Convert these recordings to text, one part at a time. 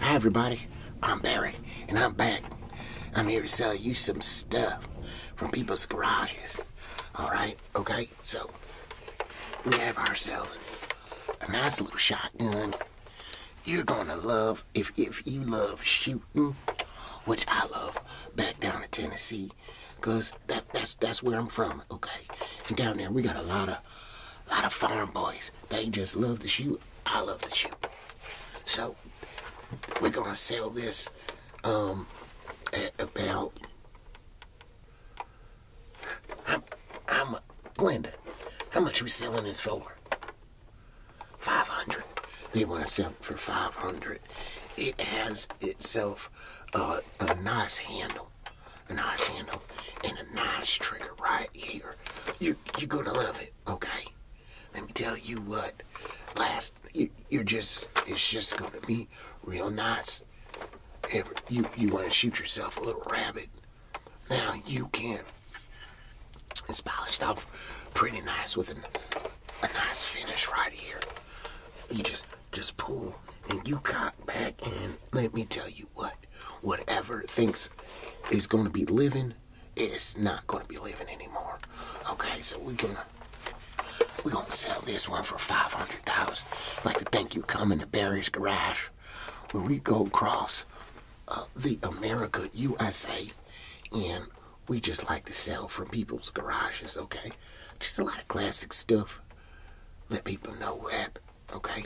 Hi, everybody. I'm Barry, and I'm back. I'm here to sell you some stuff from people's garages. All right, okay? So, we have ourselves a nice little shotgun. You're gonna love, if, if you love shooting, which I love back down in Tennessee, because that's, that's where I'm from, okay? And down there, we got a lot of a lot of farm boys. They just love to shoot. I love to shoot. So we're gonna sell this um, at about. I'm, I'm Glenda. How much we selling this for? Five hundred. They want to sell for five hundred. It has itself a nice handle, a nice handle, and a nice trigger right here. You, you're gonna love it, okay? Let me tell you what. Last, you, are just, it's just gonna be real nice. Ever, you, you wanna shoot yourself a little rabbit. Now you can. It's polished off pretty nice with an, a nice finish right here. You just, just pull and you cock back and let me tell you what whatever thinks is going to be living is not going to be living anymore. Okay, so we're gonna we're gonna sell this one for five hundred dollars. like to thank you coming to Barry's Garage. When we go across uh, the America, USA, and we just like to sell from people's garages. Okay, just a lot of classic stuff. Let people know that. Okay.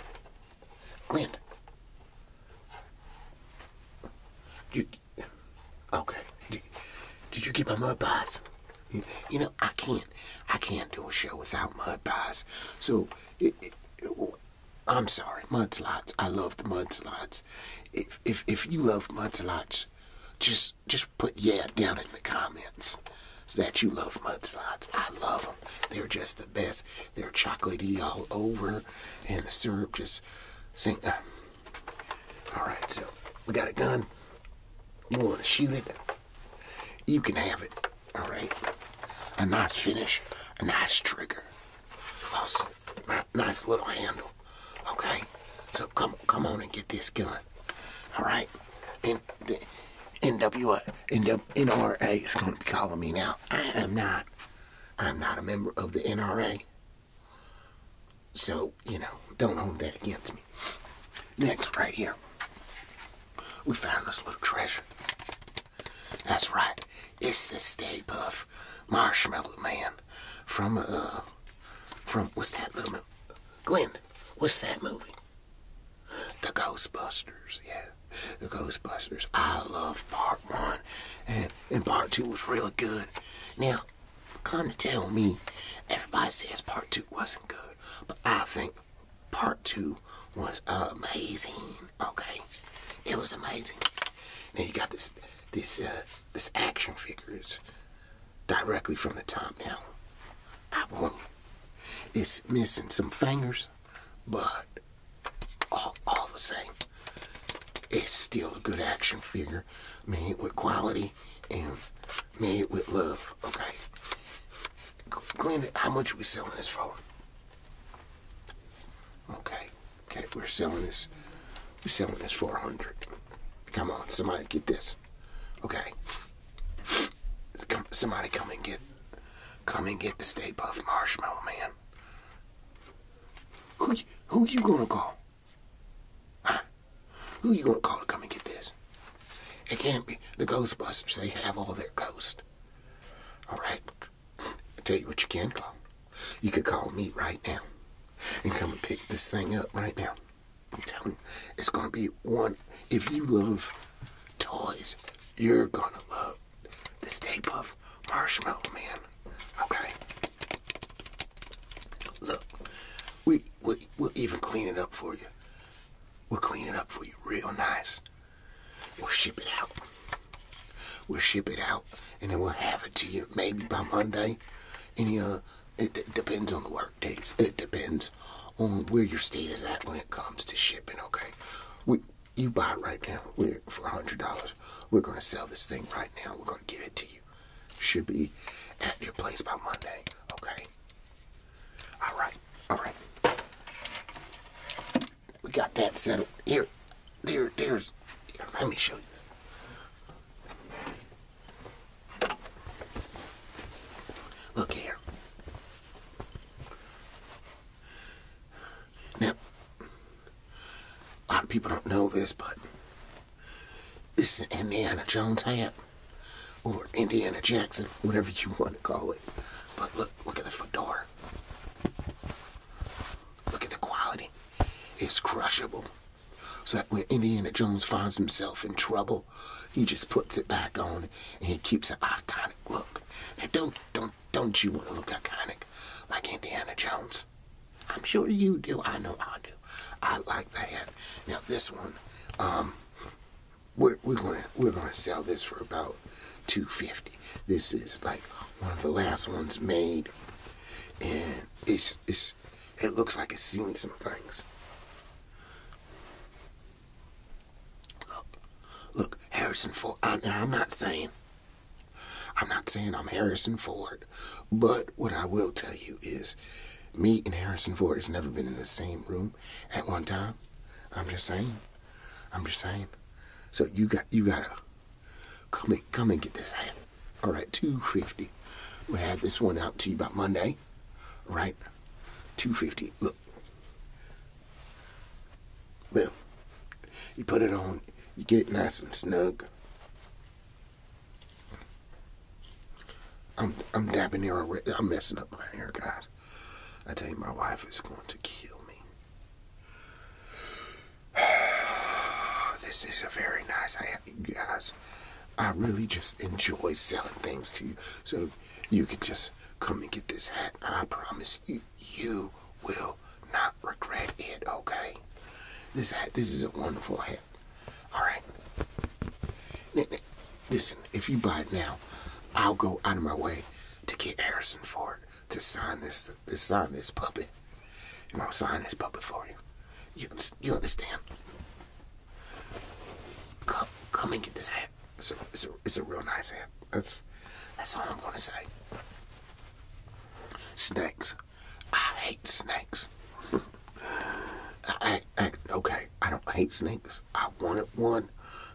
Glenn. You, okay. Oh, did, you get my mud pies? You, know, I can't, I can't do a show without mud pies. So, I'm sorry, mudslides. I love the mudslides. If, if, if you love mudslides, just, just put yeah down in the comments that you love mudslides. I love them. They're just the best. They're chocolatey all over, and the syrup just sink. Uh, all right, so we got a gun. You want to shoot it? You can have it. All right. A nice finish, a nice trigger. Also, nice little handle. Okay. So come, come on and get this gun. All right. And the NWA, is going to be calling me now. I am not I'm not a member of the NRA. So, you know, don't hold that against me. Next, right here, we found this little treasure. That's right, it's the Stay Puff Marshmallow Man from, uh, from, what's that little movie? Glenn, what's that movie? The Ghostbusters, yeah the Ghostbusters. I love part one, and, and part two was really good. Now, come to tell me, everybody says part two wasn't good, but I think part two was amazing. Okay, it was amazing. Now you got this, this, uh, this action figures directly from the top. Now, I warn you, it's missing some fingers, but all, all the same, it's still a good action figure made with quality and made with love. Okay, Glenn, how much are we selling this for? Okay, okay, we're selling this. We're selling this for a hundred. Come on, somebody get this. Okay, somebody come and get, come and get the Stay Puff Marshmallow Man. Who who you gonna call? Huh? Who you gonna call to come and get this? It can't be the Ghostbusters. They have all their ghosts. All right. tell you what you can call. You could call me right now and come and pick this thing up right now. I'm telling you, it's gonna be one. If you love toys, you're gonna love this tape of Marshmallow Man. Okay? Look, we, we, we'll even clean it up for you. We'll clean it up for you real nice. We'll ship it out. We'll ship it out, and then we'll have it to you maybe by Monday. Any uh, it, it depends on the work days. It depends on where your state is at when it comes to shipping. Okay, we you buy it right now. We're for a hundred dollars. We're gonna sell this thing right now. We're gonna give it to you. Should be at your place by Monday. Okay. All right. All right. We got that settled. Here, there, there's. Here, let me show you. This. Look here. Now, a lot of people don't know this, but this is an Indiana Jones hat, or Indiana Jackson, whatever you want to call it. But look, look at the fedora. Look at the quality. It's crushable. So that when Indiana Jones finds himself in trouble, he just puts it back on and he keeps an iconic look. Now don't don't don't you want to look iconic like Indiana Jones? I'm sure you do. I know I do. I like that. Now this one, um, we're, we're gonna we're gonna sell this for about 250. This is like one of the last ones made, and it's it's it looks like it's seen some things. Look, look, Harrison Ford. I, am not saying I'm not saying I'm Harrison Ford, but what I will tell you is me and Harrison Ford has never been in the same room at one time. I'm just saying. I'm just saying. So you got you gotta come and come and get this hat. Alright, two fifty. We'll have this one out to you by Monday. Right, Two fifty. Look. Well, You put it on, you get it nice and snug. I'm I'm dabbing hair. I'm messing up my hair, guys. I tell you, my wife is going to kill me. this is a very nice. hat, guys, I really just enjoy selling things to you. So you can just come and get this hat. I promise you, will not regret it, okay? This, hat, this is a wonderful hat. All right? Listen, if you buy it now, I'll go out of my way to get Harrison Ford to sign this, to sign this puppet. And I'll sign this puppet for you. You, you understand? Come, come and get this hat. It's a, it's a, it's a real nice hat. That's, that's all I'm gonna say. Snakes. I hate snakes. okay, I don't hate snakes. I wanted one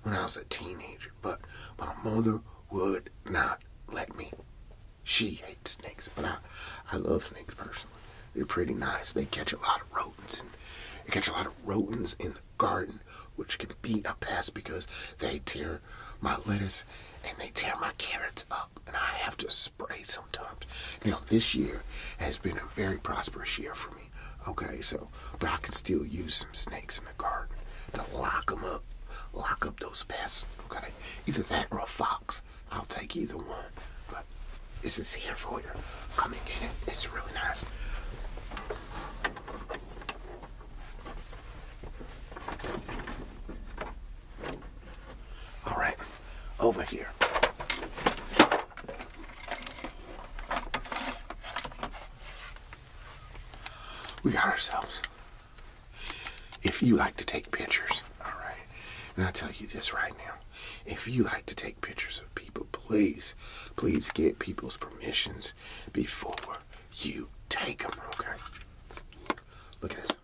when I was a teenager, but my mother would not let me. She hates snakes, but I, I love snakes personally. They're pretty nice. They catch a lot of rodents, and they catch a lot of rodents in the garden, which can be a pest because they tear my lettuce and they tear my carrots up and I have to spray sometimes. Now this year has been a very prosperous year for me. Okay, so but I can still use some snakes in the garden to lock them up, lock up those pests. Okay, either that or a fox. I'll take either one. But this is here for you. Come and get it. It's really nice. All right, over here. We got ourselves. If you like to take pictures, all right, and I'll tell you this right now. If you like to take pictures of people, please, please get people's permissions before you take them, okay? Look at this.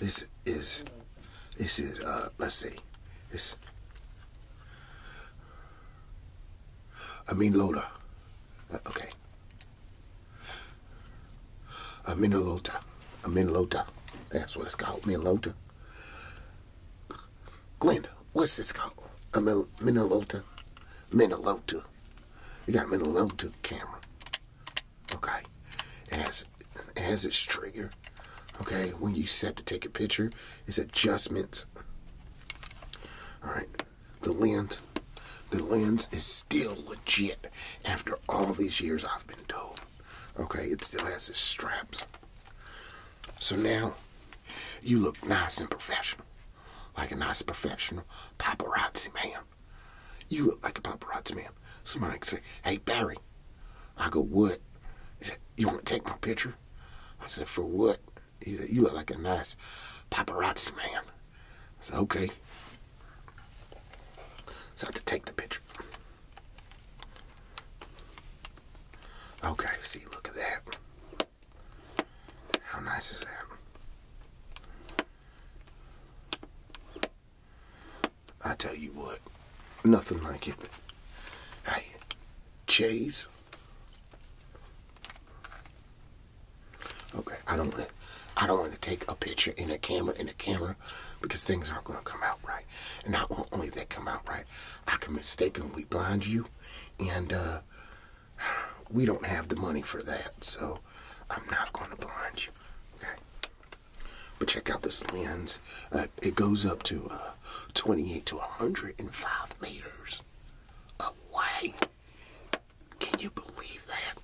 This is, this is, uh, let's see, this, Aminlota, uh, okay, Aminlota, Aminlota, that's what it's called, Aminlota. Glenda, what's this called? Aminlota, Minilota, you got me the level two camera. Okay, As as its trigger. Okay, when you set to take a picture, it's adjustment. All right, the lens. The lens is still legit after all these years I've been doing. Okay, it still has its straps. So now you look nice and professional, like a nice professional paparazzi man. You look like a paparazzi man. Somebody could say, hey, Barry. I go, what? He said, you want to take my picture? I said, for what? He said, you look like a nice paparazzi man. I said, okay. So I had to take the picture. Okay, see, look at that. How nice is that? I tell you what, nothing like it. Hey, cheese. Okay, I don't want to. I don't want to take a picture in a camera in a camera because things aren't going to come out right. And not only they come out right, I can mistakenly blind you, and uh, we don't have the money for that, so I'm not going to blind you. Okay. But check out this lens. Uh, it goes up to uh, 28 to 105 meters away. Can you believe that?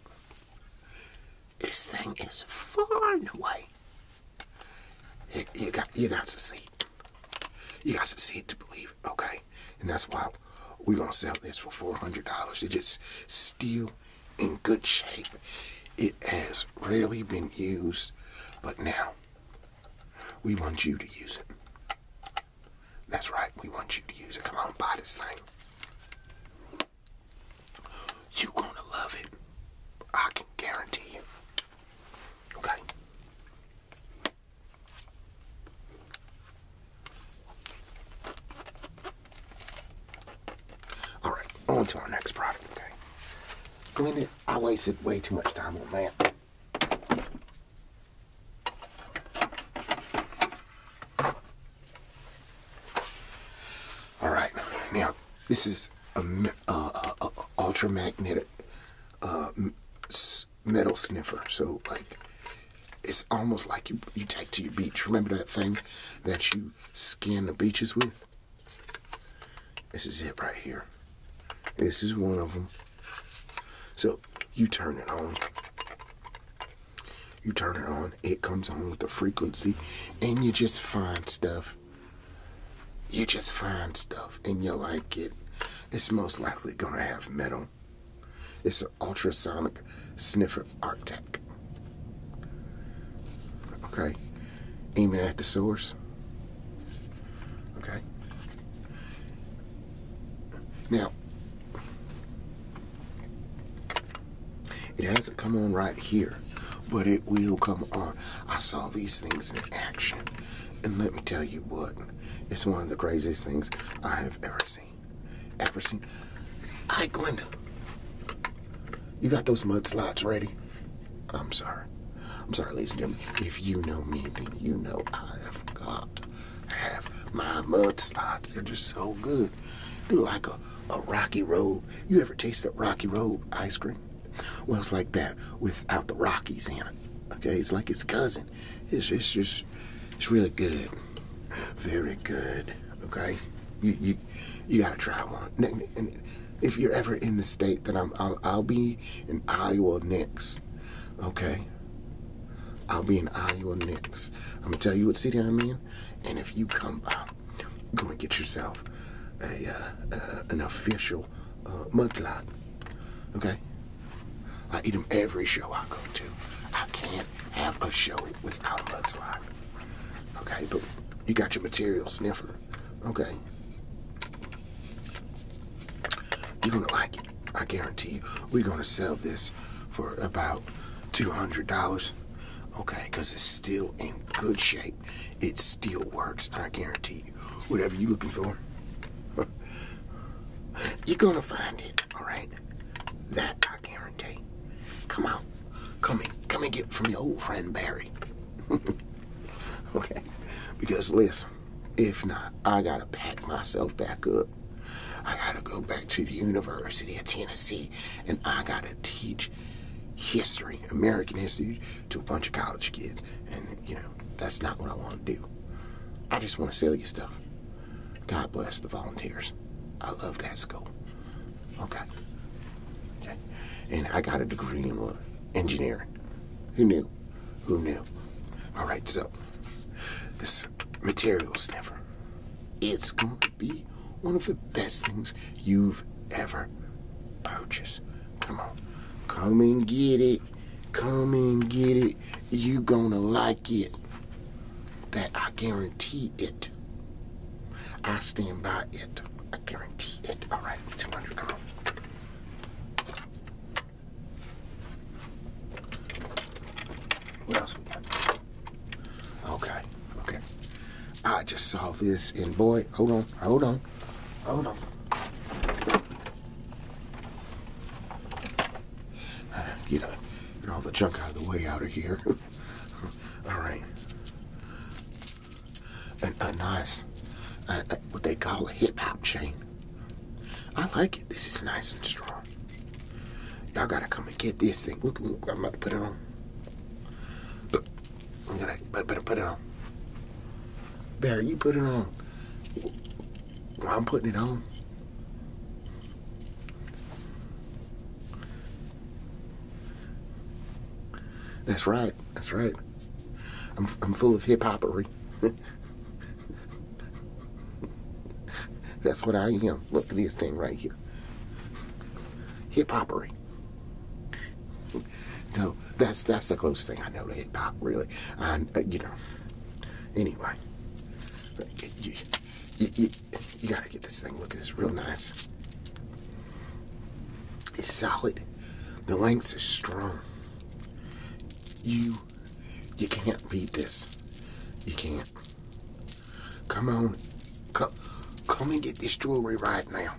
This thing is far away. You, got you got to see You got to see it to believe Okay. And that's why we're going to sell this for $400. It is just still in good shape. It has rarely been used, but now we want you to use it. That's right, we want you to use it. Come on, buy this thing. You're going to love it. I can guarantee you. Okay? All right, on to our next product, okay? I wasted way too much time on that. All right, now this is a, uh, uh, uh, ultramagnetic metal sniffer, so like it's almost like you you take to your beach. Remember that thing that you scan the beaches with? This is it right here. This is one of them. So you turn it on. You turn it on, it comes on with the frequency, and you just find stuff. You just find stuff and you like it. It's most likely gonna have metal it's an ultrasonic sniffer art Okay? Aiming at the source. Okay? Now, it hasn't come on right here, but it will come on. I saw these things in action. And let me tell you what, it's one of the craziest things I have ever seen ever seen. Hi, Glenda, you got those mudslides ready? I'm sorry. I'm sorry, ladies and gentlemen. If you know me, then you know I have got to have my mudslides. They're just so good. They're like a, a rocky road. You ever tasted rocky road ice cream? Well, it's like that without the Rockies in it. Okay, it's like its cousin. It's, it's just it's really good. Very good. Okay? You you you gotta try one. if you're ever in the state, then I'm I'll, be in Iowa next. Okay? I'll be in Iowa next. I'm gonna tell you what city I'm in, and if you come by, go and get yourself a uh, uh, an official uh, mudslide. Okay? I eat them every show I go to. I can't have a show without a mudslide. Okay, but you got your material sniffer. Okay. You're gonna like it. I guarantee you. We're gonna sell this for about two hundred dollars. Okay, because it's still in good shape. It still works, I guarantee you. Whatever you're looking for, you're gonna find it, alright? That I guarantee. Come on. Come in, come and get from your old friend Barry. okay. Because listen, if not, I gotta pack myself back up. I gotta go back to the University of Tennessee and I gotta teach history, American history, to a bunch of college kids. And you know, that's not what I wanna do. I just wanna sell you stuff. God bless the volunteers. I love that school. Okay. okay. And I got a degree in uh, Engineering. Who knew? Who knew? All right, so this material sniffer, it's going to be one of the best things you've ever purchased. Come on. Come and get it. Come and get it. You gonna like it. That I guarantee it. I stand by it. I guarantee it. All right, 200, come What else we got? Okay, okay. I just saw this and boy, hold on, hold on, hold on. Ah, get all the junk out of the way out of here. All right. A, nice, what they call a hip hop chain. I like it. This is nice and strong. Y'all gotta come and get this thing. Look, look, I'm about to put it on. Look, I'm gonna put better put it on. Barry, you put it on. I'm putting it on, that's right. That's right. I'm, I'm full of hip hopery. That's what I am. Look at this thing right here. Hip hopery. So that's that's the closest thing I know to hip hop, really. And you know. Anyway, you, you gotta get this thing. Look, it's real nice. It's solid. The links are strong. You, you can't beat this. You can't. Come on, come, come and get this jewelry right now.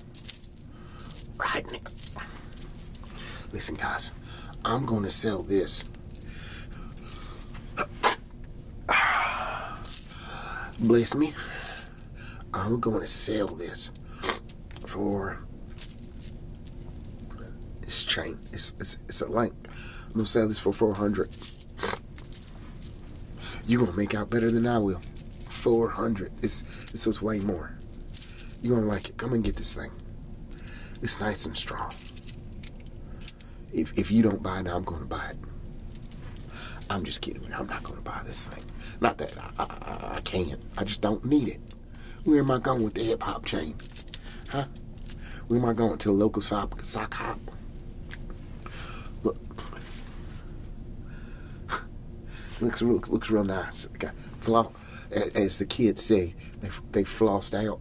Right now. Listen, guys, I'm gonna sell this. Bless me. I'm going to sell this for this chain. It's it's it's a link. I'm gonna sell this for 400. You gonna make out better than I will. 400. It's it's was way more. You gonna like it? Come and get this thing. It's nice and strong. If, if you don't buy it, I'm going to buy it. I'm just kidding. I'm not going to buy this thing. Not that I, can't. I just don't need it. Where am I going with the hip hop chain? Huh? Where am I going to the local sock, sock hop? Look, looks real, looks real nice. Got floss, as the kids say, they they flossed out.